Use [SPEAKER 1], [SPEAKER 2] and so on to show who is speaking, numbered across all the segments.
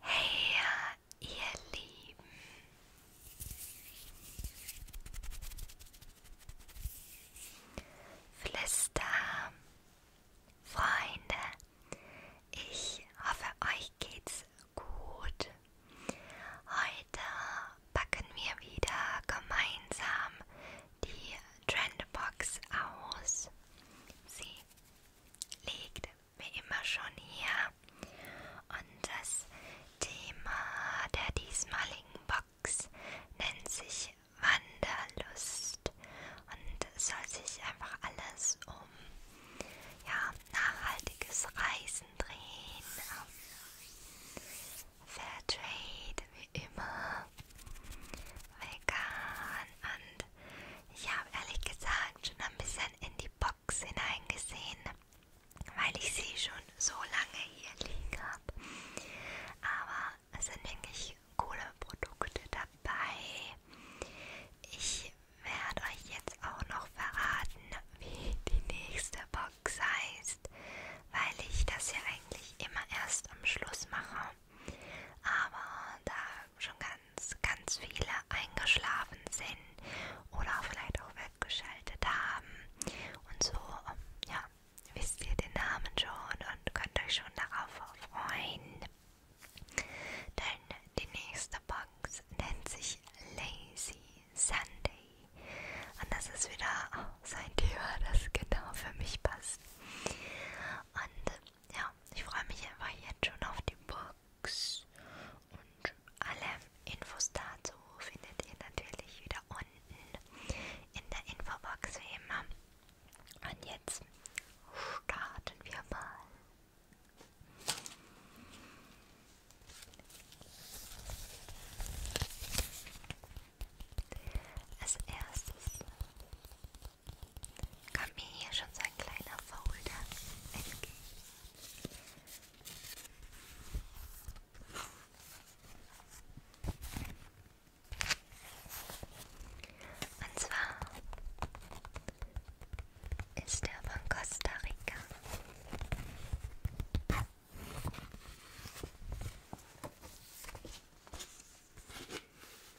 [SPEAKER 1] Hey, ihr Lieben. Flister, Freunde, ich hoffe, euch geht's gut. Heute packen wir wieder gemeinsam die Trendbox aus. Sie liegt mir immer schon hier. Und das Thema der diesmaligen Box nennt sich Wanderlust und soll sich einfach alles um ja, nachhaltiges Reisen drehen, um Fairtrade wie immer, vegan und ich habe ehrlich gesagt schon ein bisschen in die Box hineingesehen, weil ich sie schon so lange hier liegen habe. Aber es sind wirklich coole Produkte dabei. Ich werde euch jetzt auch noch verraten, wie die nächste Box heißt, weil ich das ja eigentlich immer erst am Schluss mache. Aber da schon ganz, ganz viele eingeschlafen sind oder vielleicht auch weggeschaltet haben. Und so, ja, wisst ihr den Namen schon und könnt euch schon darauf freuen. Denn die nächste Box nennt sich Lazy Sunday. Und das ist wieder oh, so ein Thema, das genau für mich passt. Und ja, ich freue mich einfach jetzt schon auf die Box. Und alle Infos dazu findet ihr natürlich wieder unten in der Infobox wie immer. Und jetzt starten wir mal. Als erstes Kam mir hier schon so ein kleiner Folder entgegen. Und zwar ist er von Costa Rica.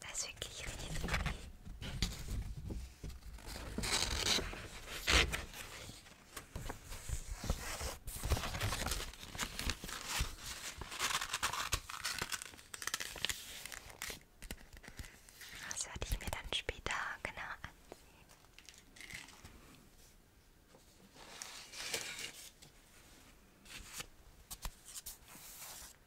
[SPEAKER 1] Das ist wirklich richtig viel. Das werde ich mir dann später genau anziehen.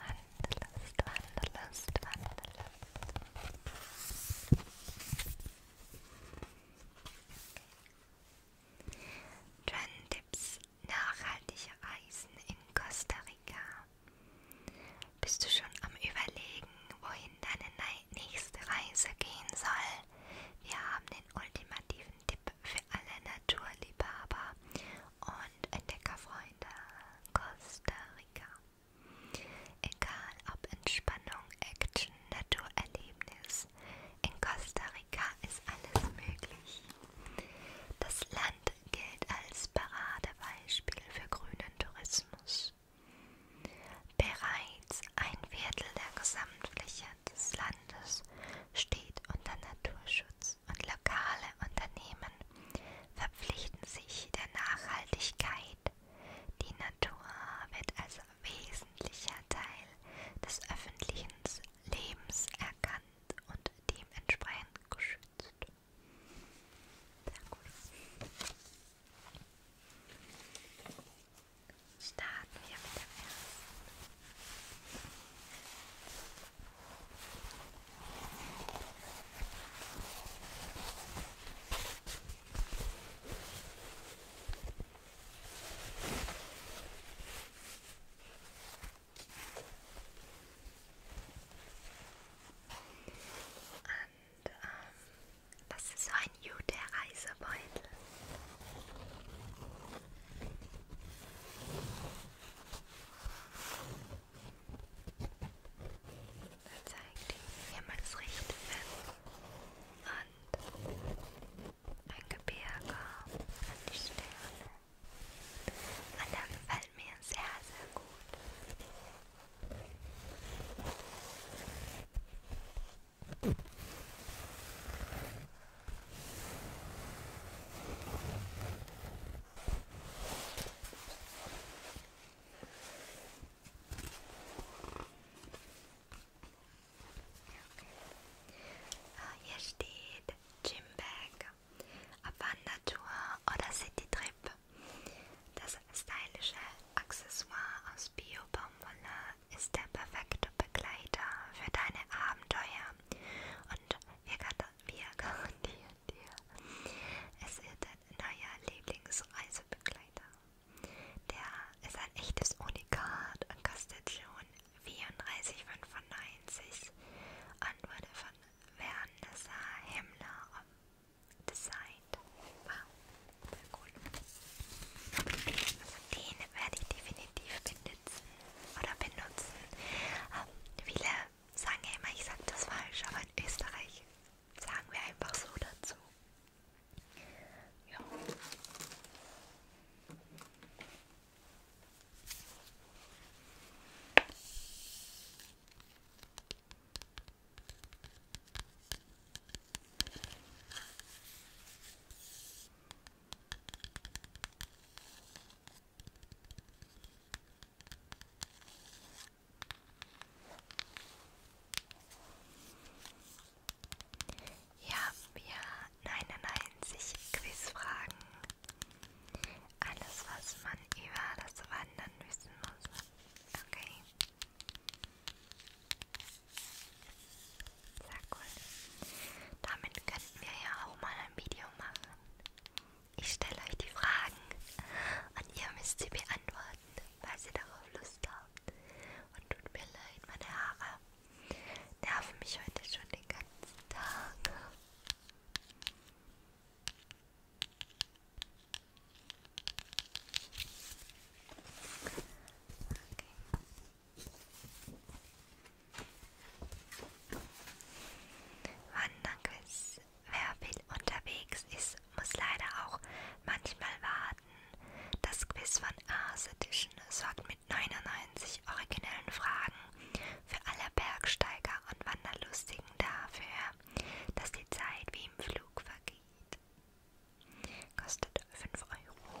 [SPEAKER 1] Wandelust, Wandelust, Wandelust. Okay. Trendtips nachhaltige Reisen in Costa Rica. Bist du schon am Überlegen, wohin deine nächste Reise gehen soll? Wir haben den ultimativen Tipp für alle Naturliebhaber und Entdeckerfreunde. Costa Amerika. Egal ob Entspannung, Action, Naturerlebnis, in Costa Rica ist alles möglich. Das Land gilt als Paradebeispiel für grünen Tourismus. Bereits ein Viertel der Gesamtfläche des Landes steht unter Naturschutz. Tourismus und lokale Unternehmen verpflichten sich der Nachhaltigkeit. Die Natur wird als wesentlicher Teil des öffentlichen Lebens erkannt und dementsprechend geschützt. Starten wir mit dem ersten. Und ähm, das ist so ein guter Reisebeutel. Dann zeigt die jemals recht und ein Gebirge an die Sterne. Und das gefällt mir sehr, sehr gut. Äh, hier steht Gymbag, Abwandertour oder Citytrip. Das stylische Accessoire aus Bio-Baumwolle ist der perfekte Begleiter für deine Abenteuer und wir, wir garantieren dir. Es wird dein neuer Lieblingsreisebegleiter. Der ist ein echtes Unikat und kostet schon 34,95 und wurde von Vanessa Himmler designt. Wow, sehr cool. Also den werde ich definitiv benutzen oder benutzen. Ähm, viele sagen ja immer, ich sag das falsch, aber in Österreich sagen wir einfach so dazu. Ja. Hier haben wir 99 Quizfragen. Alles, was man über das Wandern wissen muss. Okay. Sehr cool. Damit könnten wir ja auch mal ein Video machen. Ich stelle euch die Fragen und ihr müsst sie beantworten, weil sie darauf Lust haben. Und tut mir leid, meine Haare nerven mich heute schon den ganzen Tag. Okay. Wanderquiz. Wer viel unterwegs ist, muss leider auch manchmal warten. Das Quiz von Ars Edition sorgt mit 99 originellen Fragen für alle Bergsteiger und Wanderlustigen dafür, dass die Zeit wie im Flug vergeht. Kostet 5 Euro.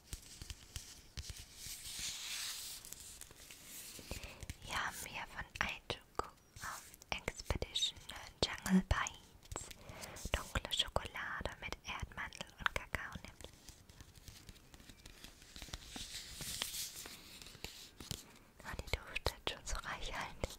[SPEAKER 1] Hier haben wir von Aichuku um, ähm, Expedition Jungle Bites dunkle Schokolade mit Erdmandel und Kakao nimmt. Oh, die duftet schon so reichhaltig.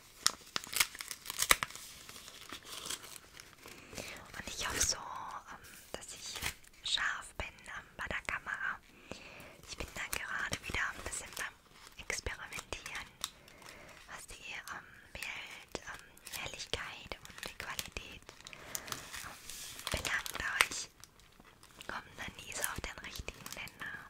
[SPEAKER 1] Und ich hoffe so, ähm, dass ich scharf bin ähm, bei der Kamera. Ich bin da gerade wieder ein bisschen beim Experimentieren, was die ähm, Bild, ähm, Helligkeit und die Qualität ähm, belangt. Aber ich komme dann nie so auf den richtigen Nenner.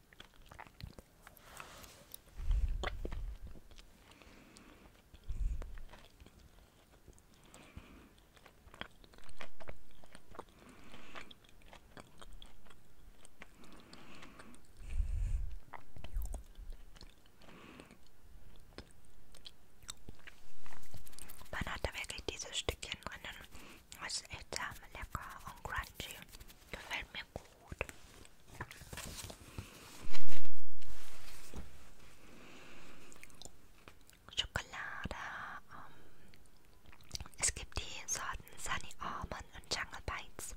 [SPEAKER 1] Man hat da wirklich diese Stückchen drinnen, das ist echt sehr lecker und crunchy. Gefällt mir gut. Schokolade. Um, ähm, es gibt die Sorten Sunny Almond und Jungle Bites.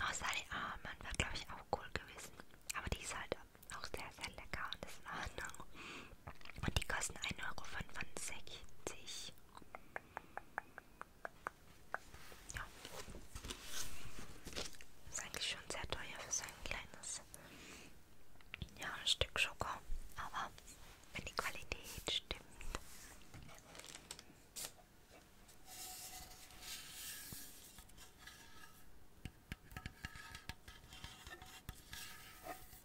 [SPEAKER 1] Auch oh, Sunny Almond war, glaube ich, auch cool gewesen. Aber die ist halt auch sehr, sehr lecker und ist in Ordnung. Und die kosten 1,65 Euro. Ja. Ist eigentlich schon sehr teuer für so ein kleines ja, ein Stück Schoko. Aber wenn die Qualität stimmt.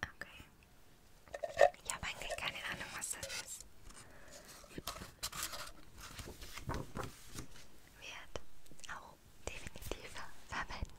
[SPEAKER 1] Okay. Ich habe eigentlich keine Ahnung, was das ist. Wird auch definitiv verwendet.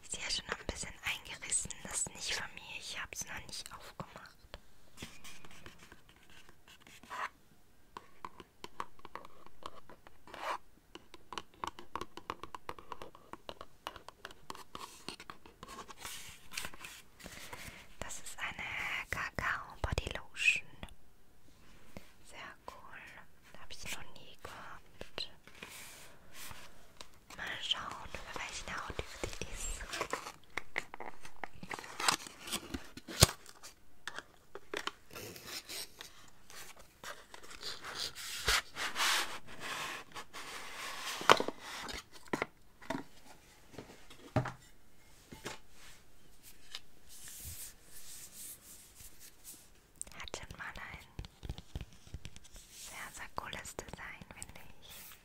[SPEAKER 1] Die ist ja schon ein bisschen eingerissen. Das ist nicht von mir. Ich habe es noch nicht aufgemacht. Das ist eine Kakao Body Lotion. Sehr cool. Habe ich noch nie gehabt. Mal schauen, über welche Haut die für dich ist. Hat schon mal ein sehr, sehr cooles Design, finde ich.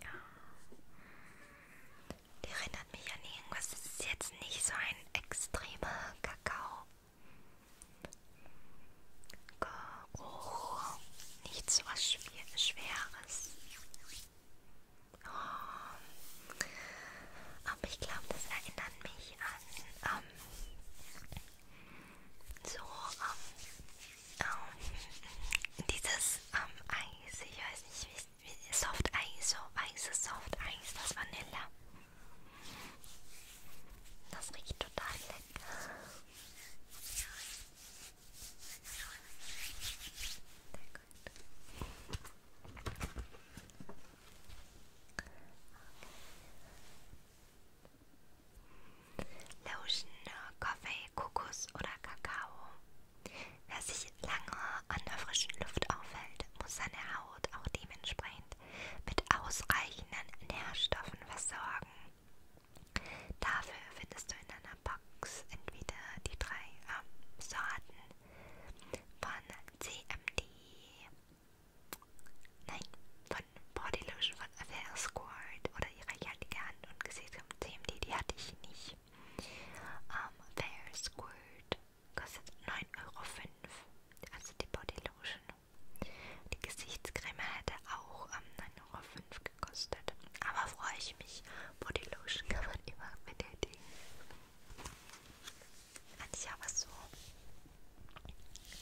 [SPEAKER 1] Ja. Der erinnert mich an irgendwas. Das ist jetzt nicht so ein extremer Kakao. Geruch. Nichts so was Schwer Schweres. Oh. Aber ich glaube, das erinnert mich an ähm, so ähm, ähm, dieses ähm, Eis, ich weiß nicht wie, wie Soft Eis, so weißes Soft Eis, das Vanille. Das riecht total lecker. Lotion, Kaffee, Kokos oder Kakao. Wer sich lange an der frischen Luft aufhält, muss seine Haut auch dementsprechend mit ausreichenden Nährstoffen versorgen. Dafür findest du in deiner Box Box entweder die drei ähm, Sorten von CMD, nein, von Body Lotion von Fair Squirt oder ihre jahtige Hand und Gesicht vom CMD, die hatte ich nicht. Ähm, Fair Squirt kostet 9,05 Euro, also die Body Lotion. Die Gesichtscreme hätte auch ähm, 9,05 Euro gekostet. Aber freue ich mich. Bodylotion kann man immer mit der Idee. Und ich habe es so,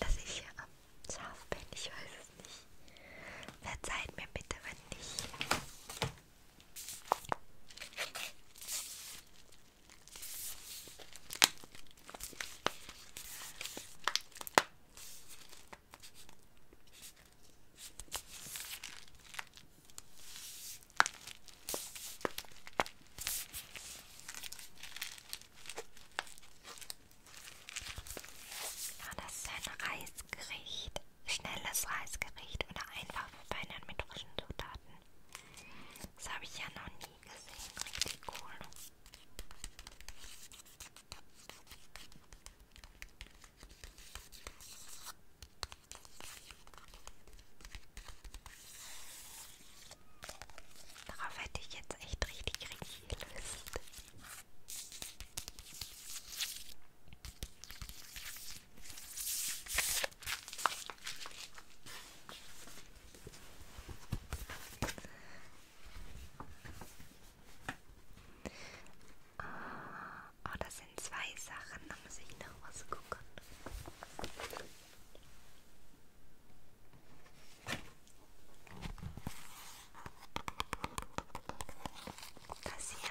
[SPEAKER 1] dass ich hier am scharf bin. Ich weiß es nicht. Verzeiht mir bitte, wenn nicht. Ja, das ist ein Reisgericht. Schnelles Reisgericht oder einfach verfeinert mit frischen Zutaten. Das habe ich ja noch nie gesehen. Richtig cool. Darauf hätte ich jetzt echt richtig, richtig Lust. Oh, das sind zwei Sachen, da muss ich noch was gucken. Das hier.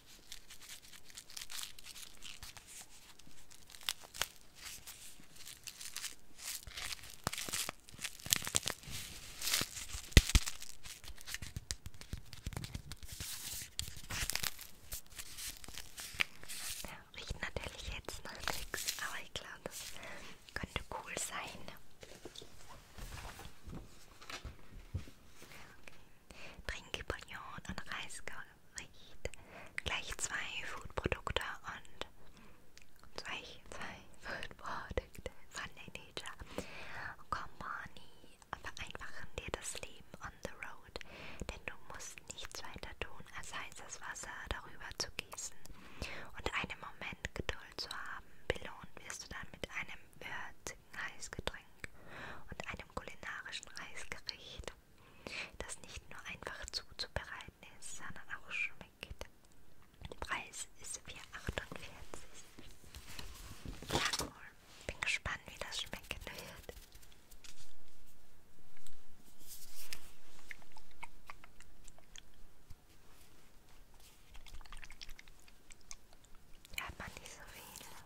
[SPEAKER 1] Riecht natürlich jetzt nach nichts, aber ich glaube, das könnte cool sein. Okay. Trinkbouillon und Reisgericht. Gleich zwei Foodprodukte und zwei, zwei Foodprodukte von Nature. Company vereinfachen dir das Leben on the road, denn du musst nichts weiter tun, als heißes Wasser darüber zu gießen und einen Moment Geduld zu haben. Belohnt wirst du dann mit einem würzigen Heißgetränk und einem einem kulinarischen Reisgericht, das nicht nur einfach zuzubereiten ist, sondern auch schmeckt. Der Preis ist 4,48. Ja, cool. Bin gespannt, wie das schmecken wird. Hört man nicht so viel.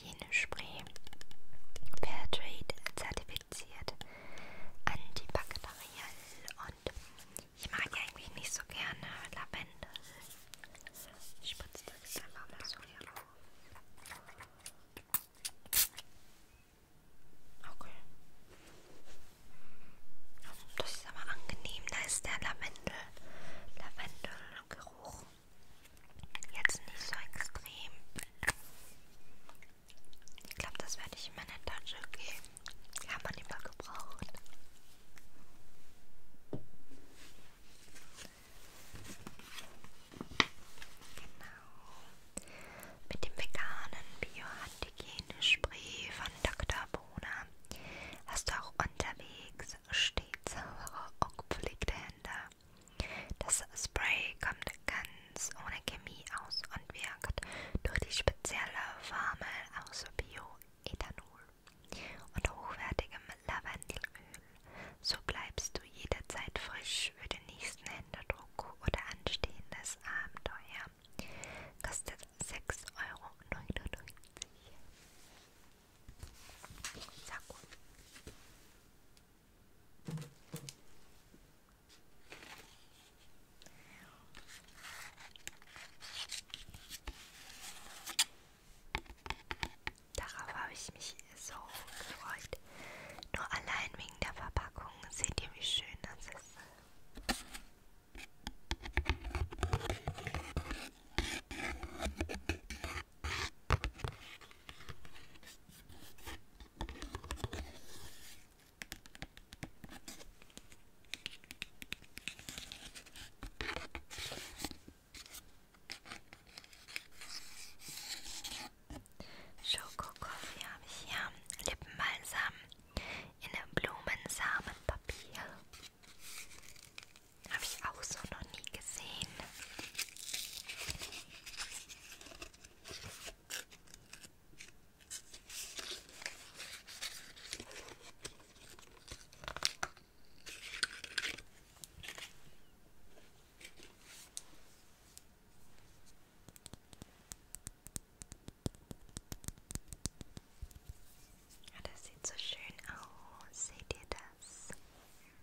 [SPEAKER 1] Hygienespray. Fairtrade zertifiziert. Antibakteriell. Und ich mag ja eigentlich nicht so gerne Lavendel. Ich spritze das jetzt einfach mal so hier auf. Okay. Das ist aber angenehm, da ist der Lavendel. Lavendelgeruch. Jetzt nicht so extrem. Ich glaube, das werde ich in meine Tasche geben. Die haben wir immer gebraucht. Genau. Mit dem veganen Biohandhygiene-Spray von Dr. Bona hast du auch unterwegs stets saubere und gepflegte Hände. Das Spray kommt ganz ohne Chemie aus und wirkt durch die spezielle Formel aus Bioethanol und hochwertigem Lavendelöl. So bleibst du jederzeit frisch für den nächsten Händedruck oder anstehendes Abenteuer. Kostet 6,99 Euro. Sehr gut. Darauf habe ich mich so gefreut. Nur allein wegen der Verpackung seht ihr, wie schön das ist. Schokokoffee habe ich hier, Lippenbalsam in einem Blumensamenpapier. Habe ich auch so noch nie gesehen. Ja, ah, das sieht so schön aus. Seht ihr das?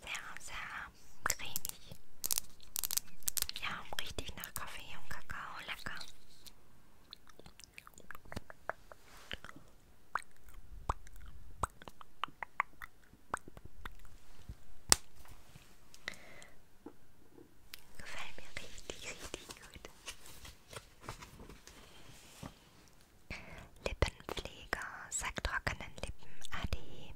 [SPEAKER 1] sehr, sehr cremig. Ja, richtig nach Kaffee und Kakao, lecker. Gefällt mir richtig, richtig gut. Lippenpflege. Pfleger, sacktrockenen Lippen Adi,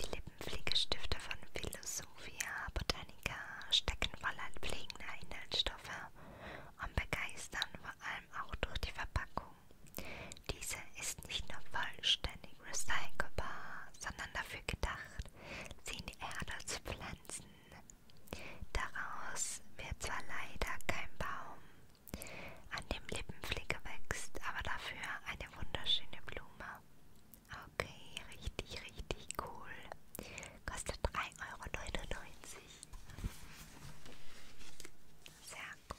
[SPEAKER 1] die Lippenpflegestifte von Philosophia Botanica stecken voller pflegender Inhaltsstoffe und begeistern vor allem auch durch die Verpackung. Diese ist nicht nur vollständig recycelbar, sondern dafür gedacht, sie in die Erde zu pflanzen. Daraus wird zwar leider kein Baum, an dem Lippenpflege wächst, aber dafür ein eine wunderschöne Blume. Okay, richtig, richtig cool. Kostet 3,99 Euro. Sehr cool.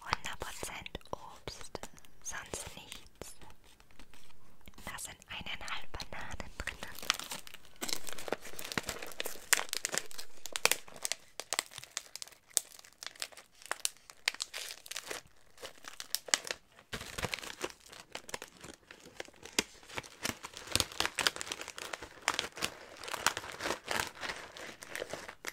[SPEAKER 1] 100% Obst, sonst nichts. Da sind eineinhalb Bananen drin.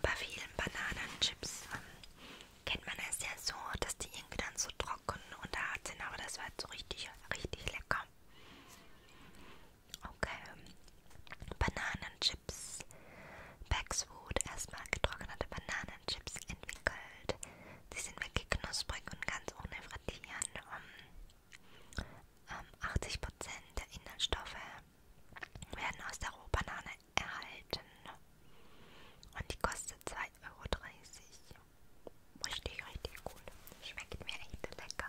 [SPEAKER 1] Bei vielen Bananenchips ähm, kennt man es ja so, dass die irgendwie dann so trocken und hart sind, aber das war jetzt so richtig, richtig lecker. Okay, Bananenchips, Paxwood, erstmal getrocknete Bananen Bananenchips entwickelt. Sie sind wirklich knusprig und ganz ohne Frittieren. Um, um ähm, 80% der Inhaltsstoffe werden aus der Rohbanane erhalten. Und die kostet 2,30 Euro. Richtig, richtig gut. Schmeckt mir echt lecker.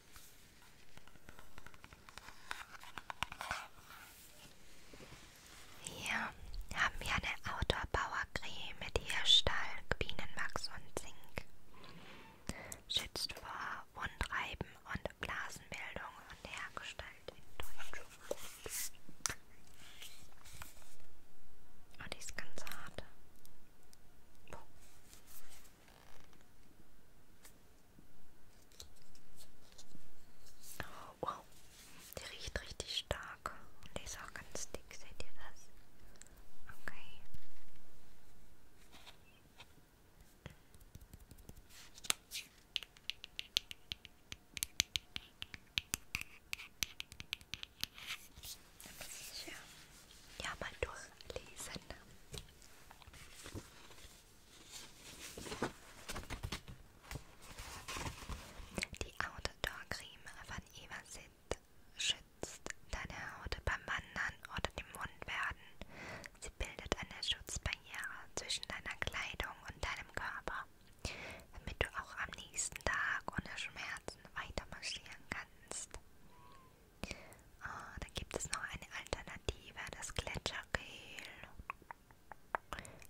[SPEAKER 1] Hier haben wir eine Outdoor-Bauer-Creme mit Hirschstall, Bienenwachs und Zink. Schützt vor Wundreiben und Blasenbildung und hergestellt in Deutschland. Oh, die ist ganz hart. Oh. Wow, die riecht richtig stark und die ist auch ganz dick, seht ihr das? Okay. Ja, mal durchlesen. Die Outdoor-Creme von Evasit schützt deine Haut beim Wandern oder dem Mundwerden. Sie bildet eine Schutzbarriere zwischen deiner Kleidung und deinem Körper, damit du auch am nächsten Tag ohne Schmerzen weiter marschieren kannst. Oh, da gibt es noch eine Alternative, das Gletschergel.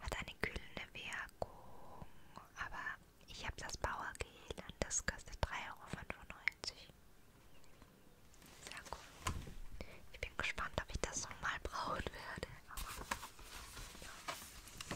[SPEAKER 1] Hat eine kühlende Wirkung, aber ich habe das Bauergel und das kostet 3,95 Euro. Sehr cool. Ich bin gespannt, ob ich das nochmal brauchen werde. Aber ja.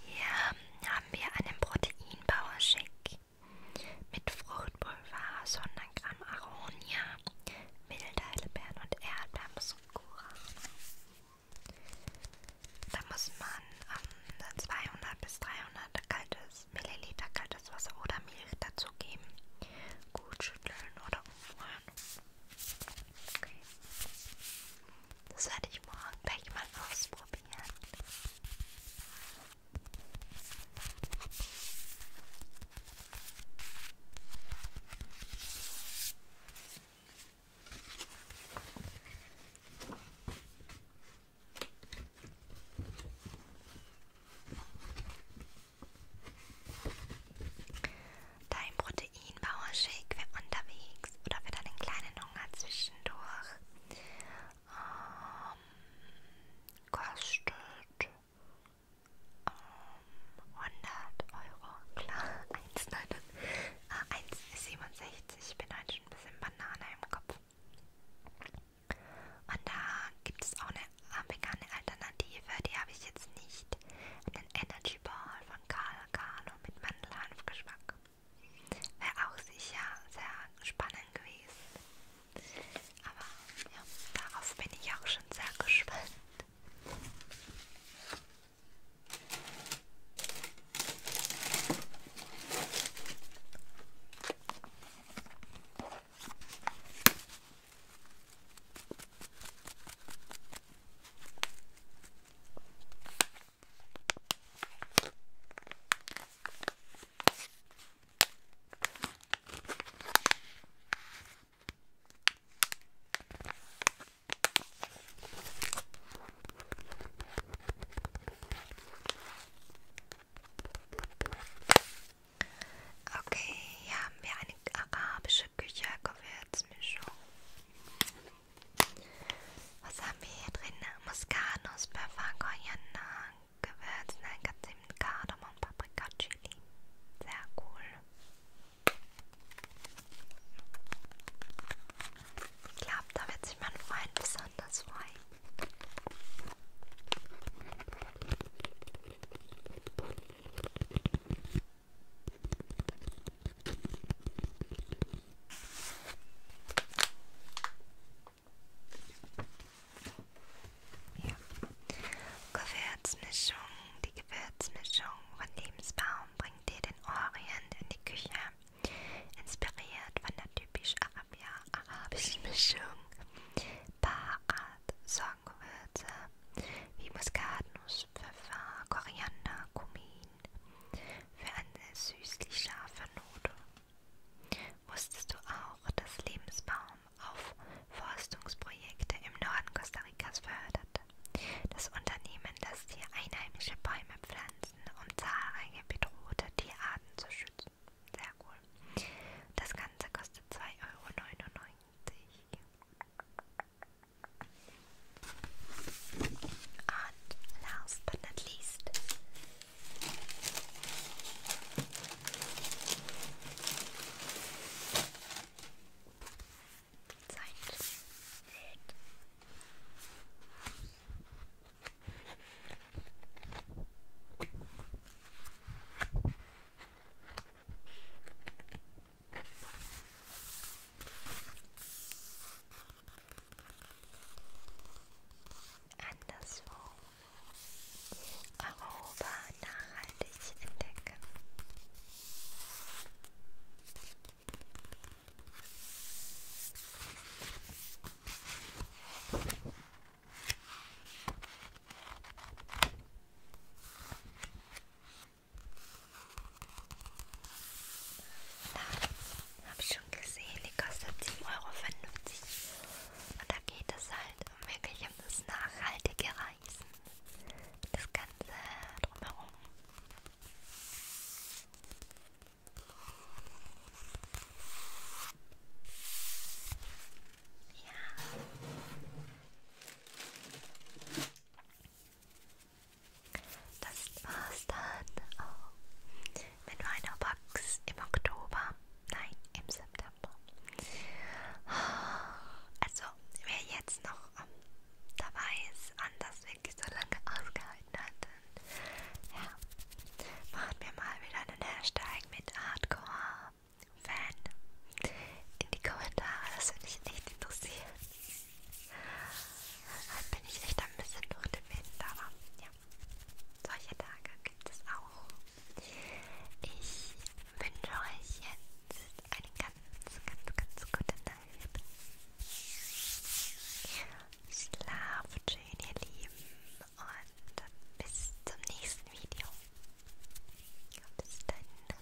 [SPEAKER 1] Hier haben wir einen Proteinbauer-Shake mit Fruchtpulver, 100 Gramm Aronia, wilde Heidelbeeren und Erdbeeren und Kuchen. Da muss man ähm, 200 bis 300 kaltes, Milliliter kaltes Wasser oder Milch dazugeben. Gut schütteln oder umrühren. Okay. Das werde ich morgen gleich mal ausprobieren. Dein Protein Proteinbauershake für unterwegs oder für deinen kleinen Hunger zwischendurch. Ähm, kostet ähm, 100 Euro, klar, 1,67. Äh, ich bin heute schon ein bisschen Banane im Kopf. Und da gibt es auch eine äh, vegane Alternative, die habe ich jetzt nicht. Einen Energy Ball von Karl Carlo mit Mandelhanfgeschmack. Wäre auch sicher sehr spannend gewesen. Aber ja, darauf bin ich auch schon sehr gespannt. Okay, hier haben wir eine arabische Küche-Gewürzmischung. Was haben wir hier drin? Muskatnuss, Pfeffer, Koriander, Gewürz, Nelkezimt, Kardamom, Paprika, Chili. Sehr cool. Ich glaube, da wird sich mein Freund besonders freuen. Ja. Gewürzmischung. Die Gewürzmischung von Lebensbaum bringt dir den Orient in die Küche. Inspiriert von der typisch arabischen Mischung. Barat, Sorgengewürze wie Muskatnuss, Pfeffer, Koriander, Kumin, für eine süßlich scharfe Note. Wusstest du auch, dass Lebensbaum auf Forstungsprojekte im Norden Costa Ricas fördert? Das Unternehmen lässt hier einheimische Bäume pflanzen, um zahlreiche bedrohte Tierarten zu schützen. Sehr cool. Das Ganze kostet 2,99 Euro. And last but not least, Zeit Anderswo Europa nachhaltig entdecken. Da habe ich schon gesehen, die kostet 7,50 Euro. Und da geht es halt um wirklich um das nachhaltige Reisen. Das Ganze drumherum. Ja. Das war's dann auch mit meiner Box im Oktober. Nein, im September. Oh, also, wer jetzt noch ähm, dabei ist und das wirklich so lange ausgehalten hat, dann, ja, macht mir mal wieder einen Hashtag mit Hardcore Fan in die Kommentare. Das würde mich echt interessieren. Heute bin ich echt ein bisschen durch den Wind, aber ja, solche Tage gibt es auch. Ich wünsche euch jetzt eine ganz, ganz, ganz gute Nacht. Schlaft schön, ihr Lieben, und bis zum nächsten Video. Bis dann.